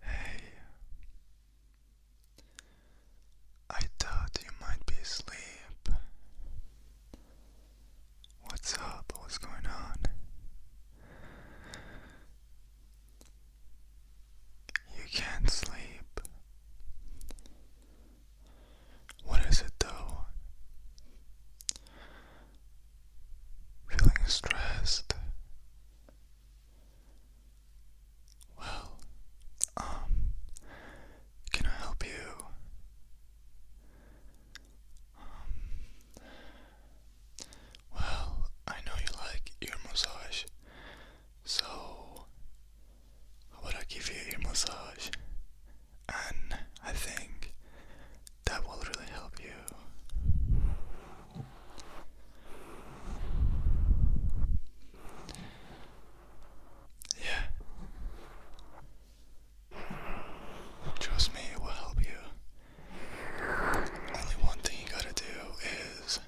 Hey, I thought you might be asleep. What's up? What's going on? You can't sleep. What is it though? feeling stressed. Well, um, can I help you? Um, well, I know you like ear massage, so how I give you ear massage? And I think that will really help you. Yeah. Trust me, it will help you. Only one thing you gotta do is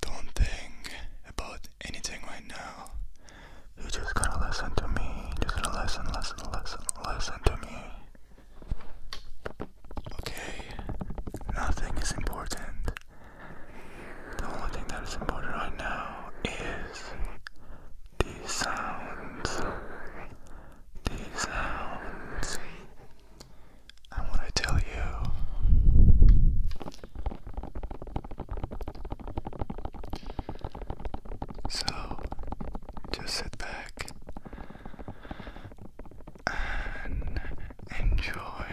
don't think about anything right now. You just gotta listen to me. Just listen, listen, listen, listen to me. Okay, nothing is important. The only thing that is important right now is these sounds. These sounds. I want to tell you so just sit back enjoy.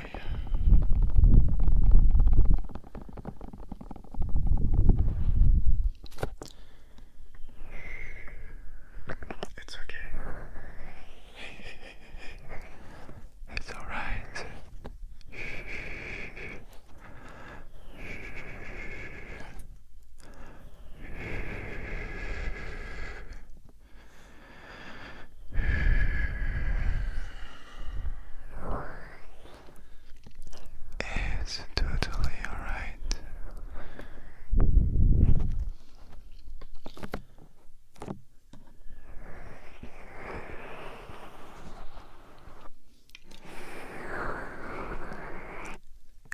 It's okay. it's all right. It's totally alright.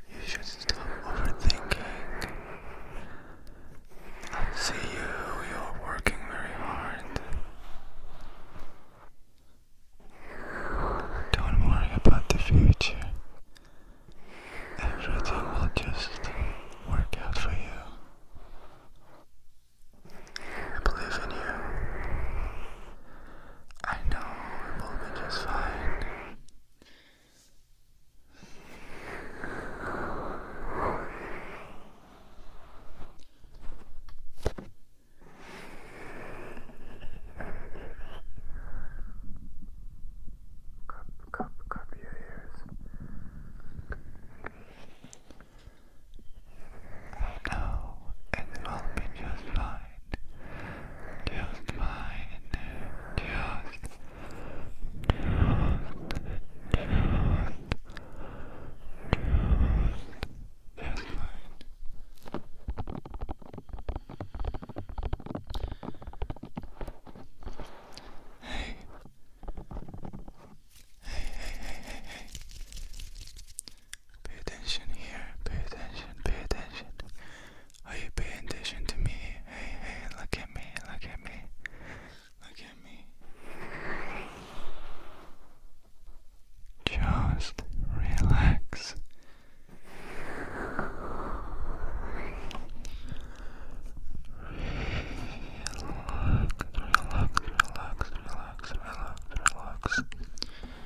You should stop overthinking. I see you, you're working very hard. Don't worry about the future. Everything will just work out for you. I believe in you. I know we'll be just fine. Cup, cup, cup your ears. I know it will be just fine just mine, just, just, Hey, hey, hey, hey, hey. Pay attention here. Pay attention. Pay attention. Are you paying attention to me? Hey, hey, look at me, look at me, look at me. Just relax. Relax, relax, relax, relax, relax, relax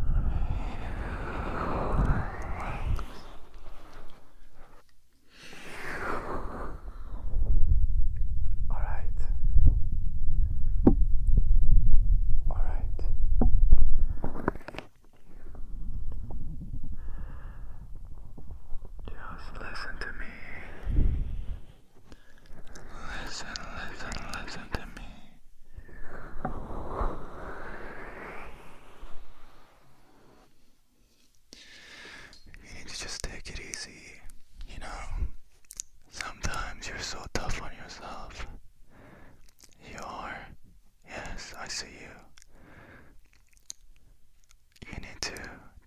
All right. All right. Just listen to me. Listen, listen, listen to me. You need to just take it easy. You know, sometimes you're so tough on yourself. You are. Yes, I see you. You need to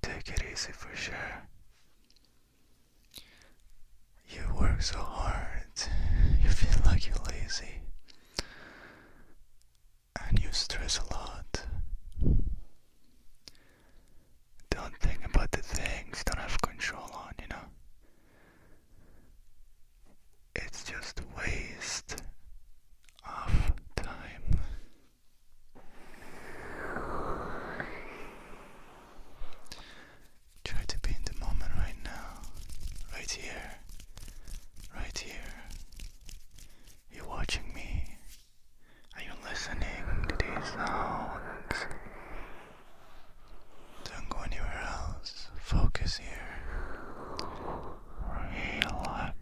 take it easy for sure. You work so hard, you feel like you're lazy and you stress a lot. Don't think about the things don't have control on, you know? It's just waste of time. Try to be in the moment right now, right here, right here. You're watching me. Are you listening to these sounds? Don't go anywhere else. Focus here. Relax.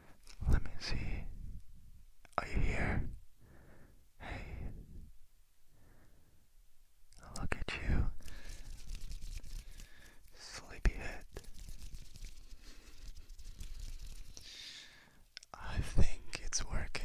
Let me see. Are you here? Hey. Look at you. Sleepyhead. I think it's working.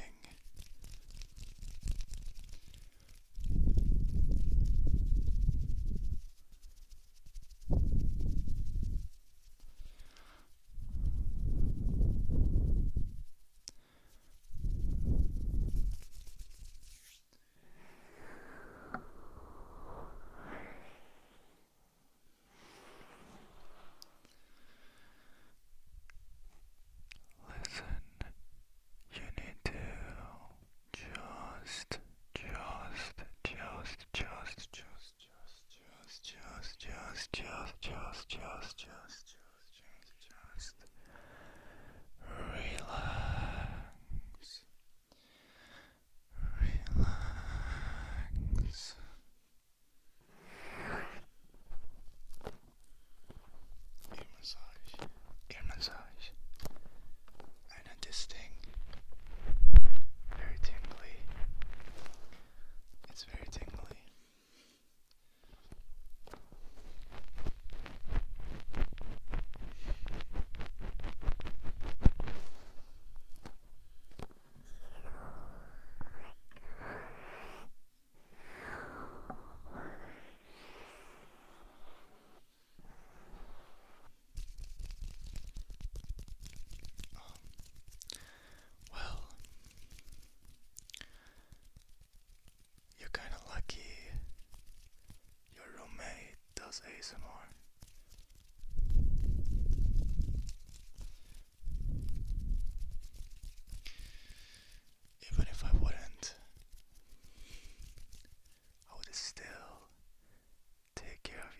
Listen, you need to just, just, just, just, just just, just, just, just, just, just, just, just, just, relax, relax. Ear massage, ear massage, kind of distinct, very tingly. It's very tingly. Oh. well, you're kinda lucky your roommate does ASMR. Even if I wouldn't, I would still take care of you.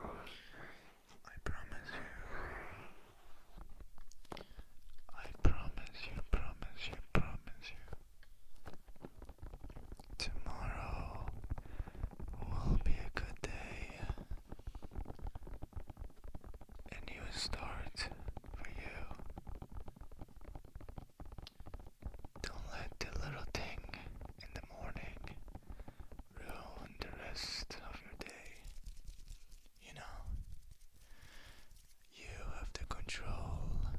I promise you. I promise you, promise you, promise you. Tomorrow will be a good day. A new start for you. Don't let the little thing in the morning ruin the rest of your day. You know, you have the control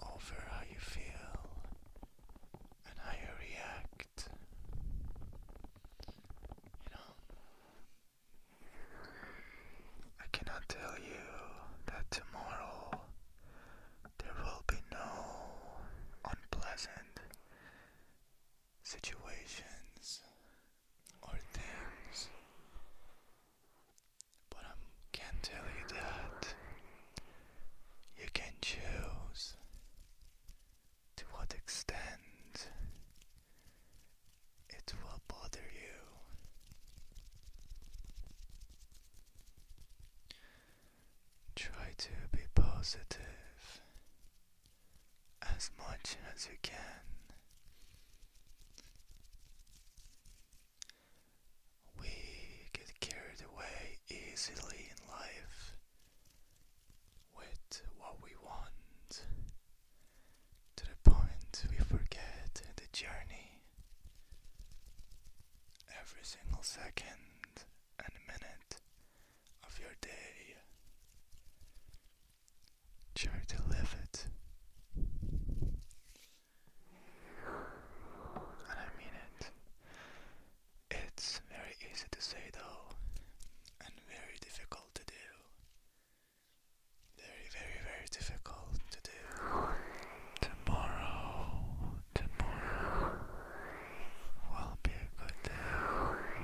over how you feel and how you react. You know, I cannot tell you that tomorrow there will be no unpleasant situations or things, but I can tell you that you can choose to what extent it will bother you. Try to be positive as much as you can. We get carried away easily in life with what we want to the point we forget the journey. Every single second and minute of your day. Try to live it. And I mean it. It's very easy to say though, and very difficult to do. Very, very, very difficult to do. Tomorrow Tomorrow will be a good day.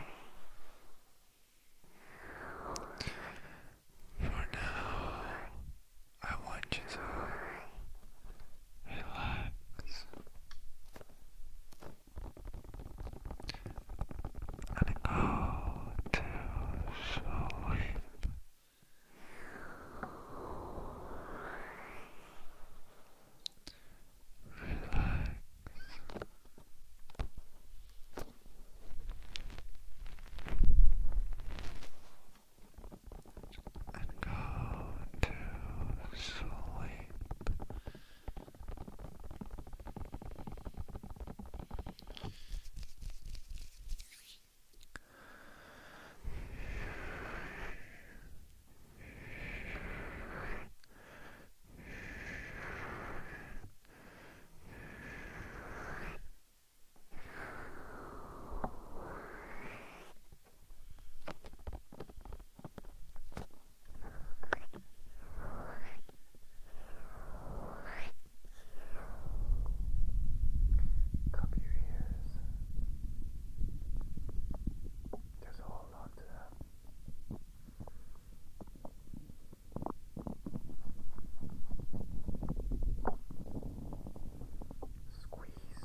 For now, I want you to relax and go to sleep relax. And go to sleep. Cup your ears. There's a whole lot to that. Squeeze.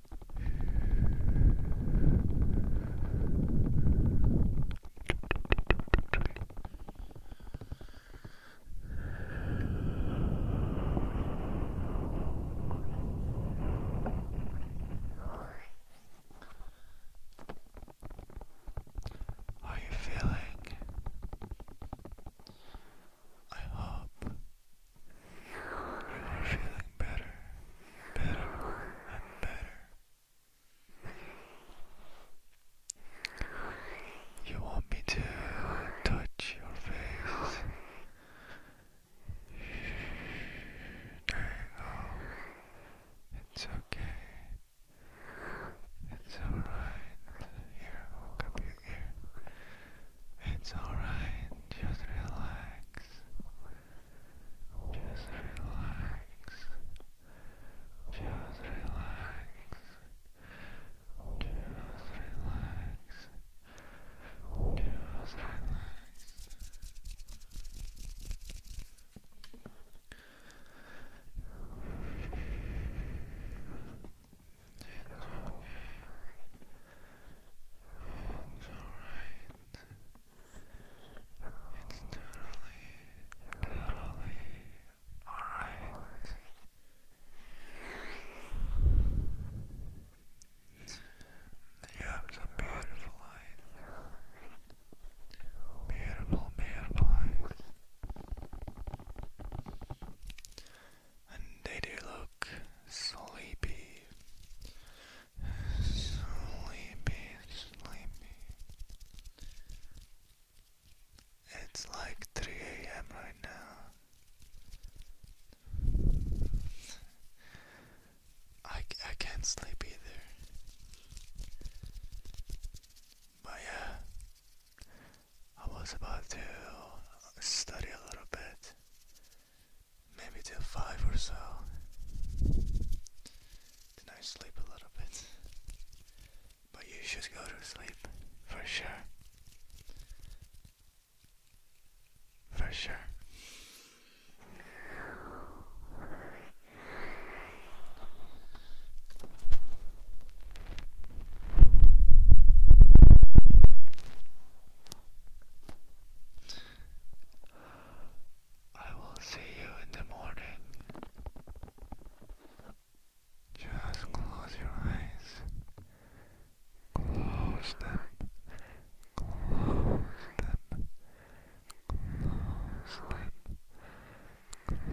How are you feeling? I hope I'm feeling better, better, and better. You want me to touch your face? It's okay. It's alright. Here, hook up your ear. It's alright. Just relax. Just relax. Just relax. Just relax. Just relax. It's alright. It's totally, totally alright. You have some beautiful eyes. Beautiful, beautiful eyes. And they do look sleepy. Sleepy, sleepy. It's like 3 a.m. right now. I, I can't sleep either. But yeah, I was about to study a little bit maybe till five or so. Then sleep a little bit. But you should go to sleep for sure. For sure. I will see you in the morning. Just close your eyes. Close them. Close them. Close them. Close them.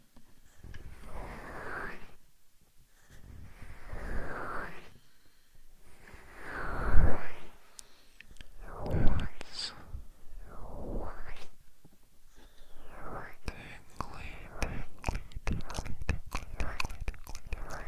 It's tingly, tingly, tingly, tingly, tingly, tingly, tingly.